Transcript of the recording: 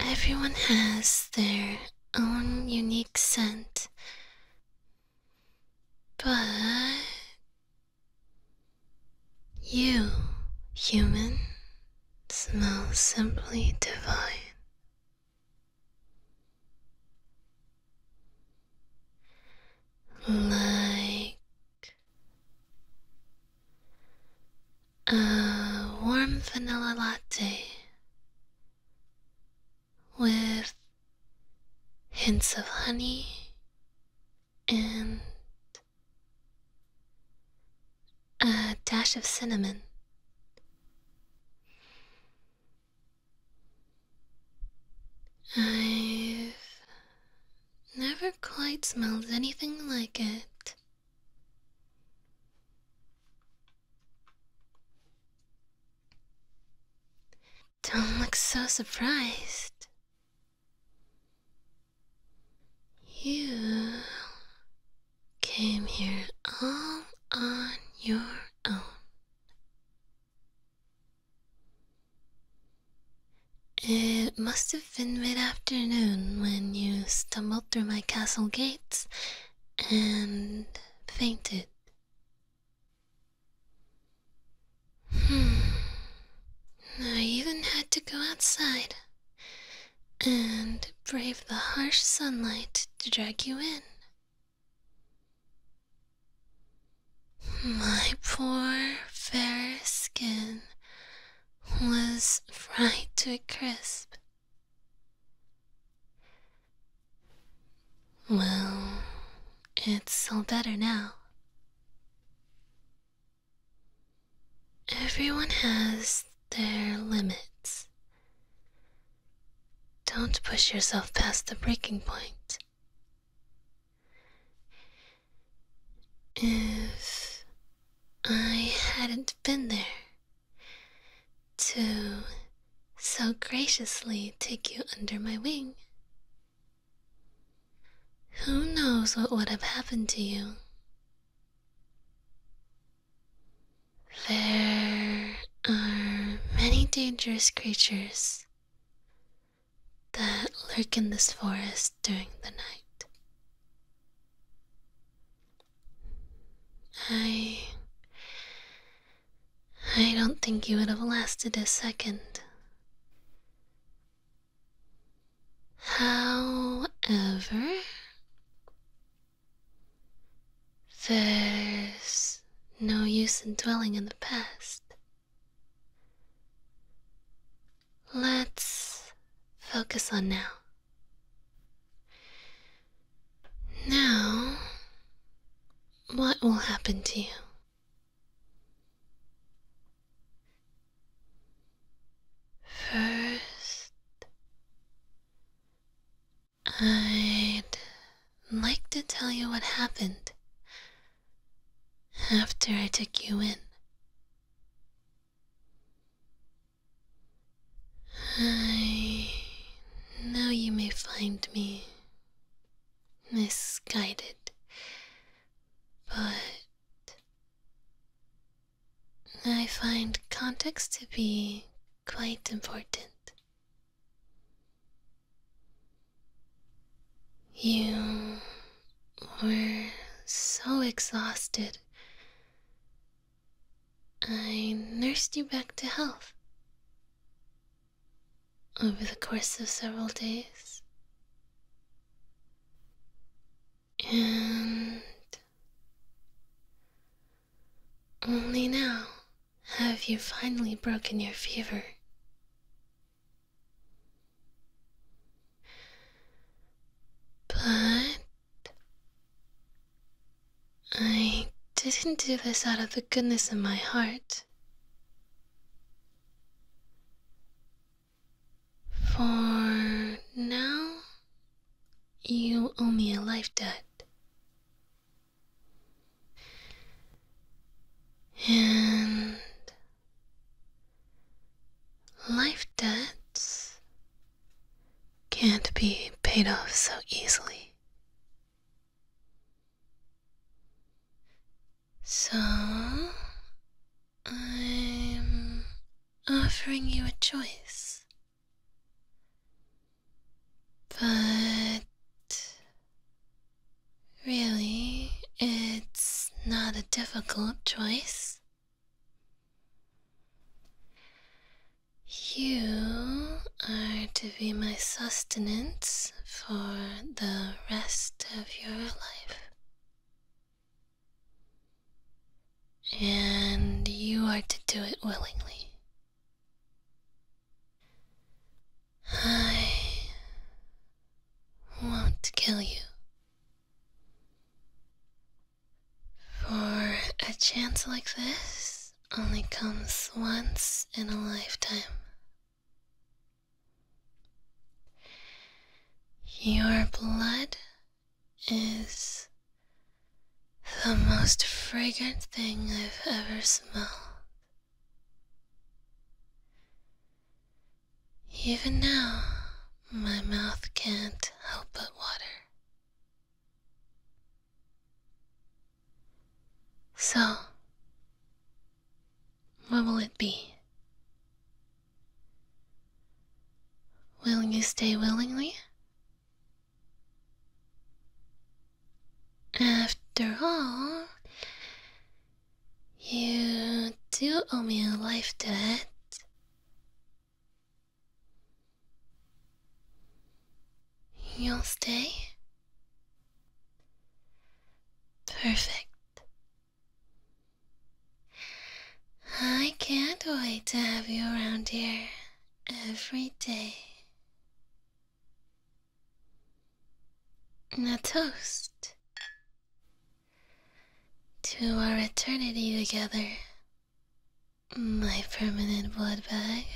Everyone has their own unique scent but you, human, smell simply divine. Like a warm vanilla latte with hints of honey and a dash of cinnamon. I've never quite smelled anything like it. Don't look so surprised. You came here all on your own. It must have in mid afternoon when you stumbled through my castle gates and fainted. Hmm. I even had to go outside and brave the harsh sunlight to drag you in. My poor fair skin was fried to a crisp. Well, it's all better now. Everyone has their limits. Don't push yourself past the breaking point. If I hadn't been there to so graciously take you under my wing, who knows what would have happened to you? There are many dangerous creatures that lurk in this forest during the night. I. I don't think you would have lasted a second. However, there's no use in dwelling in the past. Let's focus on now. Now, what will happen to you? First, I'd like to tell you what happened after I took you in. I know you may find me misguided, but I find context to be quite important. You were so exhausted. I nursed you back to health. Over the course of several days. And only now have you finally broken your fever? But I didn't do this out of the goodness of my heart. For now, you owe me a life debt. And life debts can't be paid off so easily. So, I'm offering you a choice. But really, it's not a difficult choice. You are to be my sustenance for the rest of your life. And you are to do it willingly. I won't kill you. For a chance like this only comes once in a lifetime. Your blood is the most fragrant thing I've ever smelled. Even now, my mouth can't help but water. So, what will it be? Will you stay willingly? After all, you do owe me a life debt. You'll stay? Perfect. I can't wait to have you around here every day. A toast to our eternity together, my permanent blood bag.